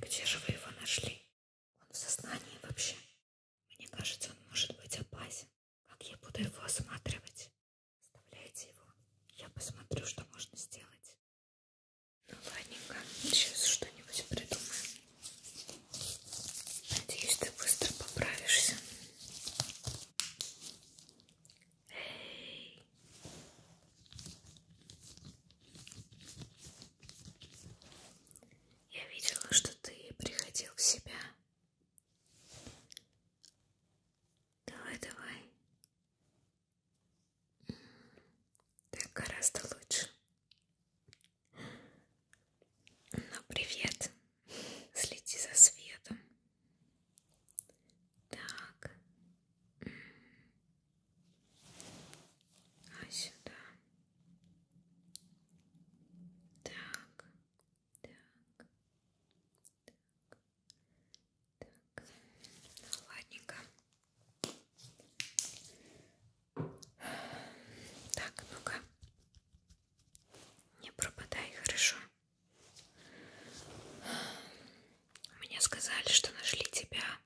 Где же вы его нашли? Он в сознании вообще? Мне кажется, он может быть опасен. Как я буду его осматривать? Оставляйте его. Я посмотрю, что можно сделать. Ну, ладненько. Сейчас что-нибудь придумаем. Надеюсь, ты быстро поправишься. Эй! Я видела, что ты приходил в себя. Давай, давай. Так гораздо лучше. Ну, привет. Следи за светом. Так. А сюда. Так, так, так, так. Ну, ладненько. Так, ну-ка. Не пропадай, хорошо. Мне сказали, что нашли тебя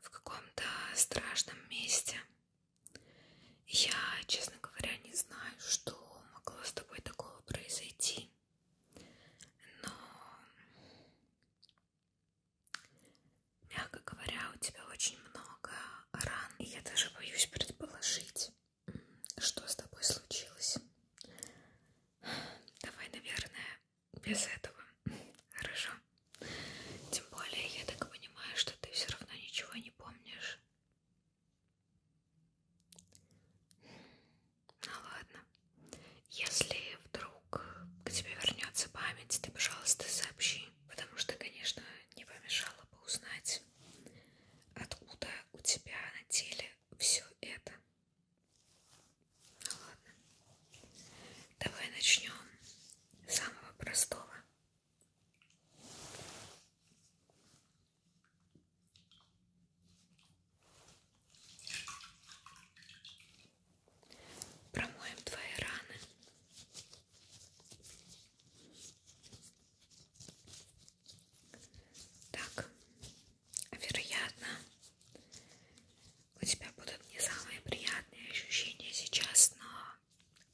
в каком-то страшном месте. Я, честно говоря, не знаю, что могло с тобой такого произойти. Но, мягко говоря, у тебя очень много ран. И я даже боюсь предположить, что с тобой случилось. Давай, наверное, без этого. Хорошо. Тем более, я так понимаю, что ты все равно ничего не помнишь. Ну ладно. Если вдруг к тебе вернется память, ты, пожалуйста, сообщи. Потому что, конечно, не помешало бы узнать, откуда у тебя на теле все это. Ну ладно. Давай начнем с самого простого. Промоем твои раны. Так, вероятно, у тебя будут не самые приятные ощущения сейчас, но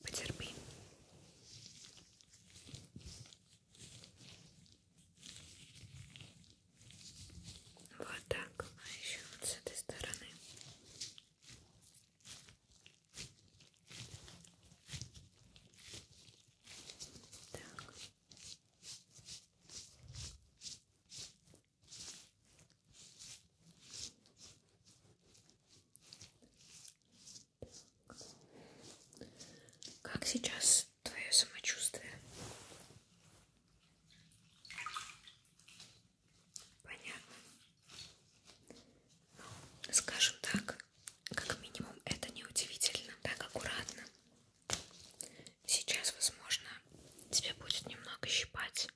потерпи. Вот так, а еще вот с этой стороны. Так. Как сейчас твое самочувствие? Понятно. Ну, скажем так, как минимум это неудивительно, так аккуратно Сейчас, возможно, тебя будет немного щипать.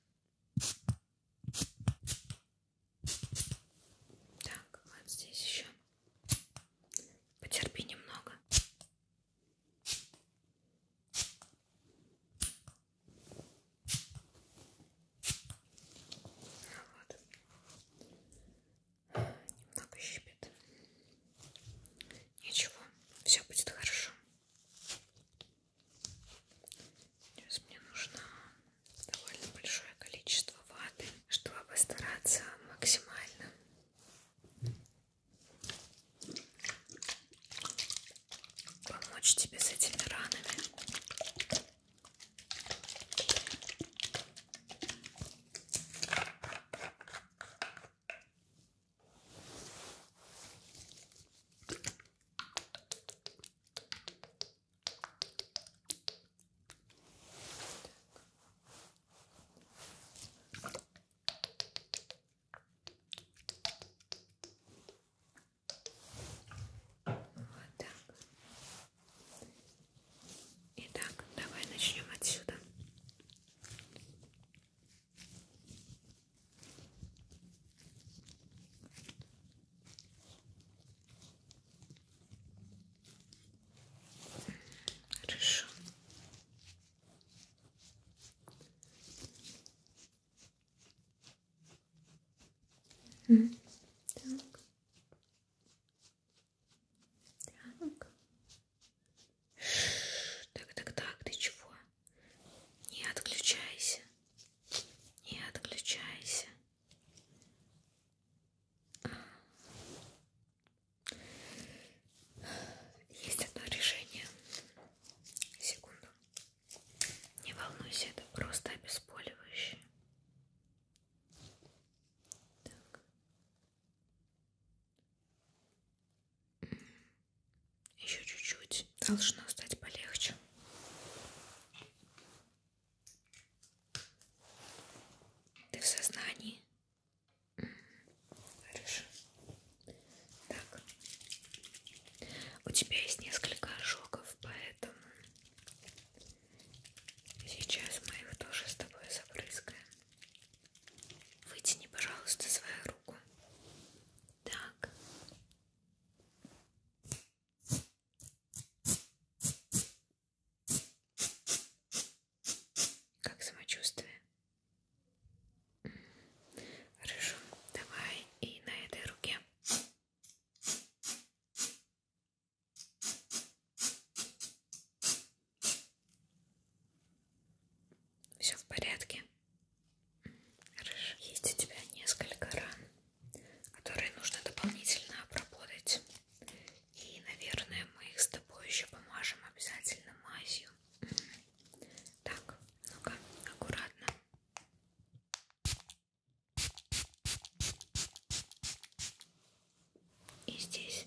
Так, вот здесь еще. Потерпи немного. А вот. Немного щипит. Ничего, все будет хорошо. Сейчас мне нужно довольно большое количество ваты, чтобы постараться максимально помочь тебе с этими ранами. Вот так. Итак, давай начнем отсюда. Хорошо. Так. Так. Так, так, так, ты чего? Не отключайся. Не отключайся. Есть одно решение. Секунду. Не волнуйся, это просто обезболивающее. Так. Еще чуть-чуть. Должно стать полегче. Ты в сознании? Хорошо. Так. У тебя есть несколько ожогов, поэтому сейчас мы их тоже с тобой забрызгаем. Вытяни, пожалуйста, свою руку. Так. Как самочувствие? Хорошо. Давай и на этой руке. Все в порядке. Хорошо. Есть у тебя несколько ран, которые нужно дополнительно обработать. И, наверное, мы их с тобой еще помажем обязательно мазью. Так, ну-ка, аккуратно и здесь.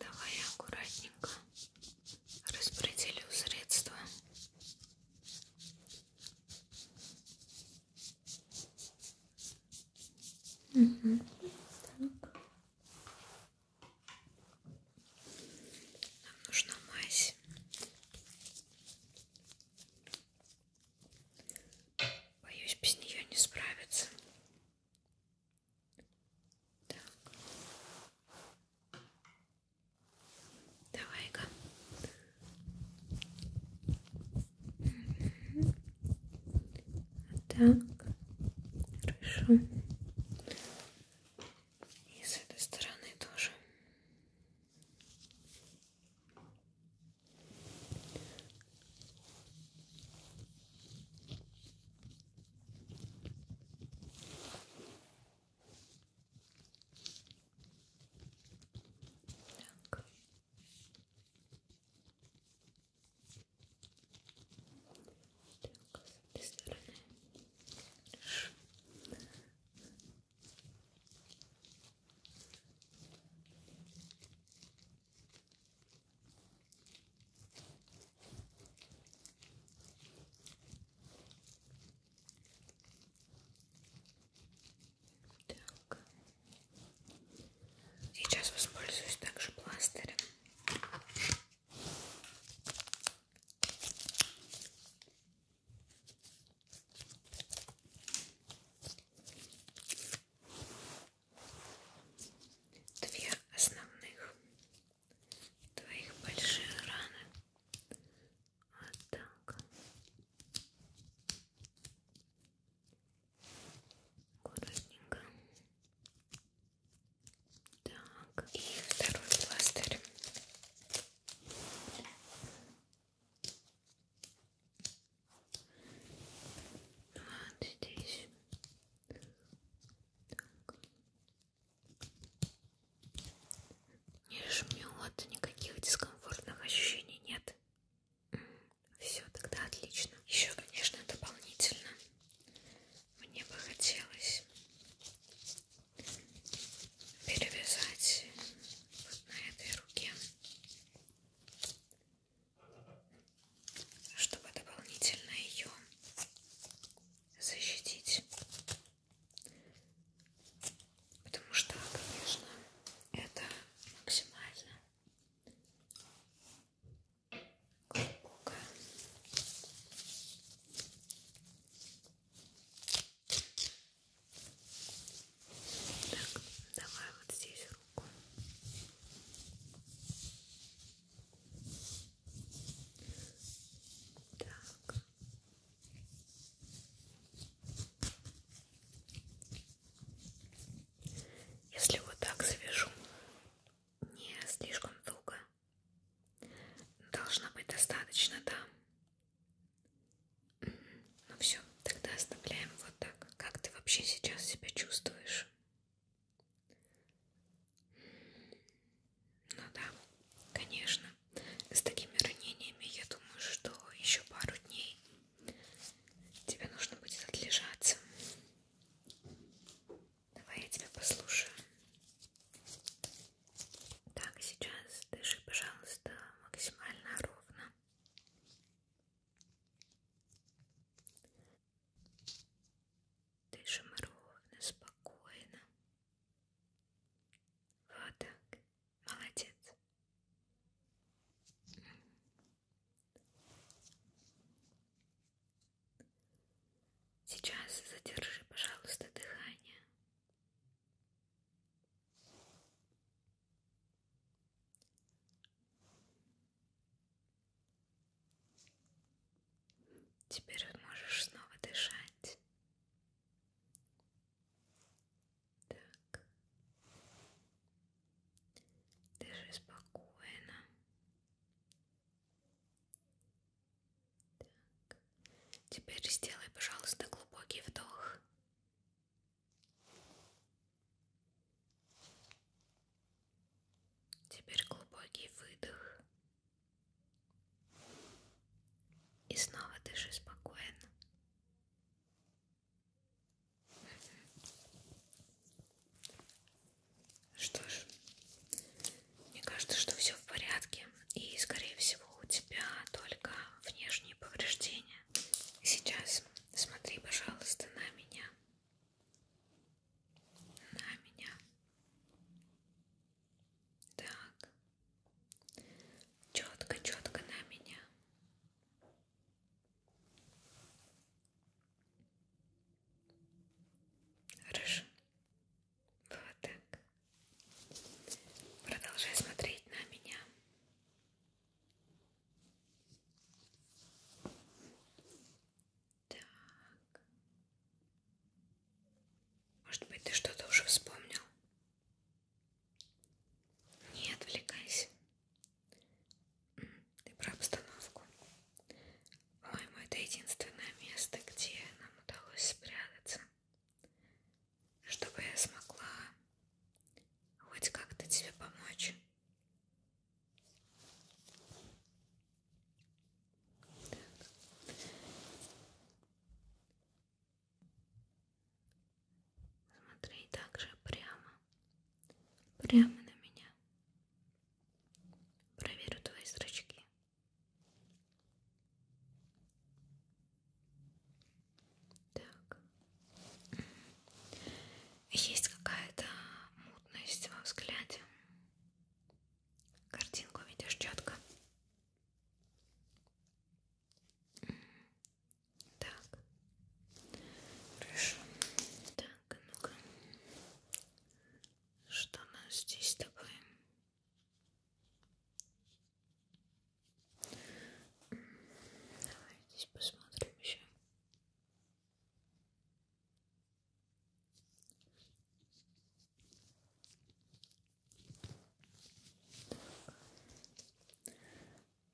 Давай я аккуратненько распределю средства. Угу. Так. Нам нужна мазь. Боюсь, без нее не справиться. Так. Давай-ка. Так. Хорошо. И с этой стороны тоже. Так. Так, с этой стороны. Хорошо. Так. Сейчас воспользуюсь также пластырем. Две основных твоих большие раны. Вот так. Аккуратненько. Так, и второй пластырь. Вот здесь. Так. Не жмет, никаких дискомфортных ощущений нет. Все, тогда отлично. Еще, конечно, дополнительно мне бы хотелось перевязать вот на этой руке, чтобы дополнительно ее защитить. Потому что, конечно, это максимально глубокая так, давай вот здесь руку. Так. Если вот так завяжу, не слишком долго, должно быть достаточно, да? Ну все, тогда оставляем вот так. Как ты вообще сейчас себя чувствуешь? Ну да, конечно. С такими ранениями я думаю, что еще пару дней тебе нужно будет отлежаться. Давай я тебя послушаю. Так, сейчас дыши, пожалуйста, максимально ровно. Дышим ровно, спокойно. Вот так. Молодец. Сейчас задержи, пожалуйста, дыхание. Теперь можешь снова дышать. Так. Дыши спокойно. Так. Теперь сделай, пожалуйста, глубокий вдох. Теперь глубокий выдох. И снова дыши спокойно. Что ж, мне кажется, что все в порядке. И, скорее всего, у тебя только внешние повреждения. Сейчас смотри, пожалуйста, на меня. На меня. Так. Четко, четко на меня. Хорошо. Вот так. Продолжай смотреть на меня. Так. Может быть, ты что-то уже вспомнил? Не отвлекайся. Ты про обстановку. По-моему, это единственное место, где нам удалось спрятаться чтобы я смогла хоть как-то тебе помочь. Так. Смотри также прямо, прямо на меня. Проверю твои зрачки. Так. Есть какая-то мутность во взгляде. Картинку видишь четко. Так. Хорошо. Так, ну-ка. Что у нас здесь такое? Давай здесь посмотрим еще.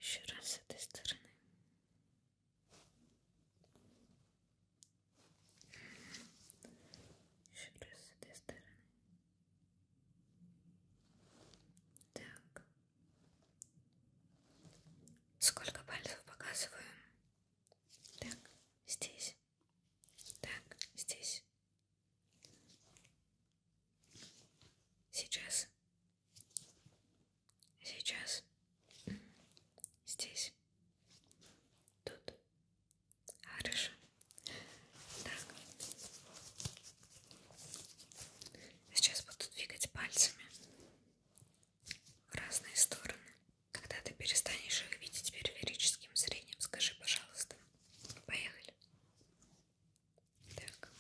Еще раз с этой стороны. Еще раз с этой стороны. Так. Сколько пальцев показываем? Так, здесь. Так, здесь. Сейчас. Сейчас. Здесь. Тут. Хорошо. Так. Сейчас буду двигать пальцами в разные стороны. Когда ты перестанешь их видеть периферическим зрением, скажи, пожалуйста. Поехали. Так.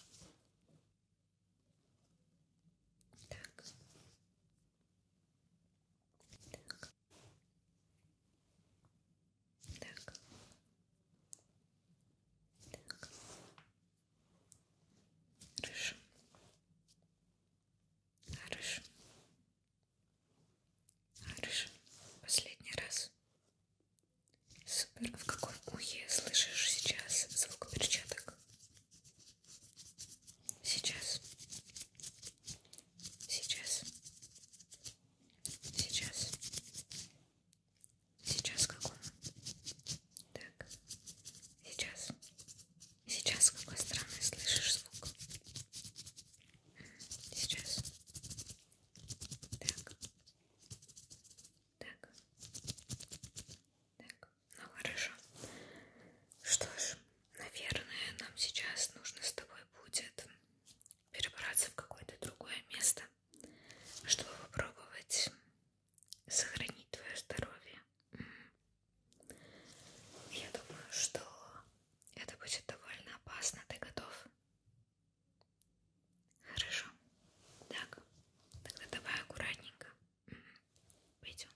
Так. Так. Так. Так. Хорошо. Хорошо. Хорошо. Последний раз. Супер. А в какой ухе слышишь сейчас звук перчаток? Сейчас. Сейчас. Сейчас. Сейчас как он? Так. Сейчас. Сейчас с какой стороны слышишь звук? Сейчас. Так. Так. Так. Ну хорошо. Что ж, Наверное, нам сейчас нужно с тобой будет перебраться в какое-то другое место, чтобы попробовать сохранить твое здоровье. Я думаю, что это будет довольно опасно. Ты готов? Хорошо. Так, тогда давай аккуратненько. Пойдем.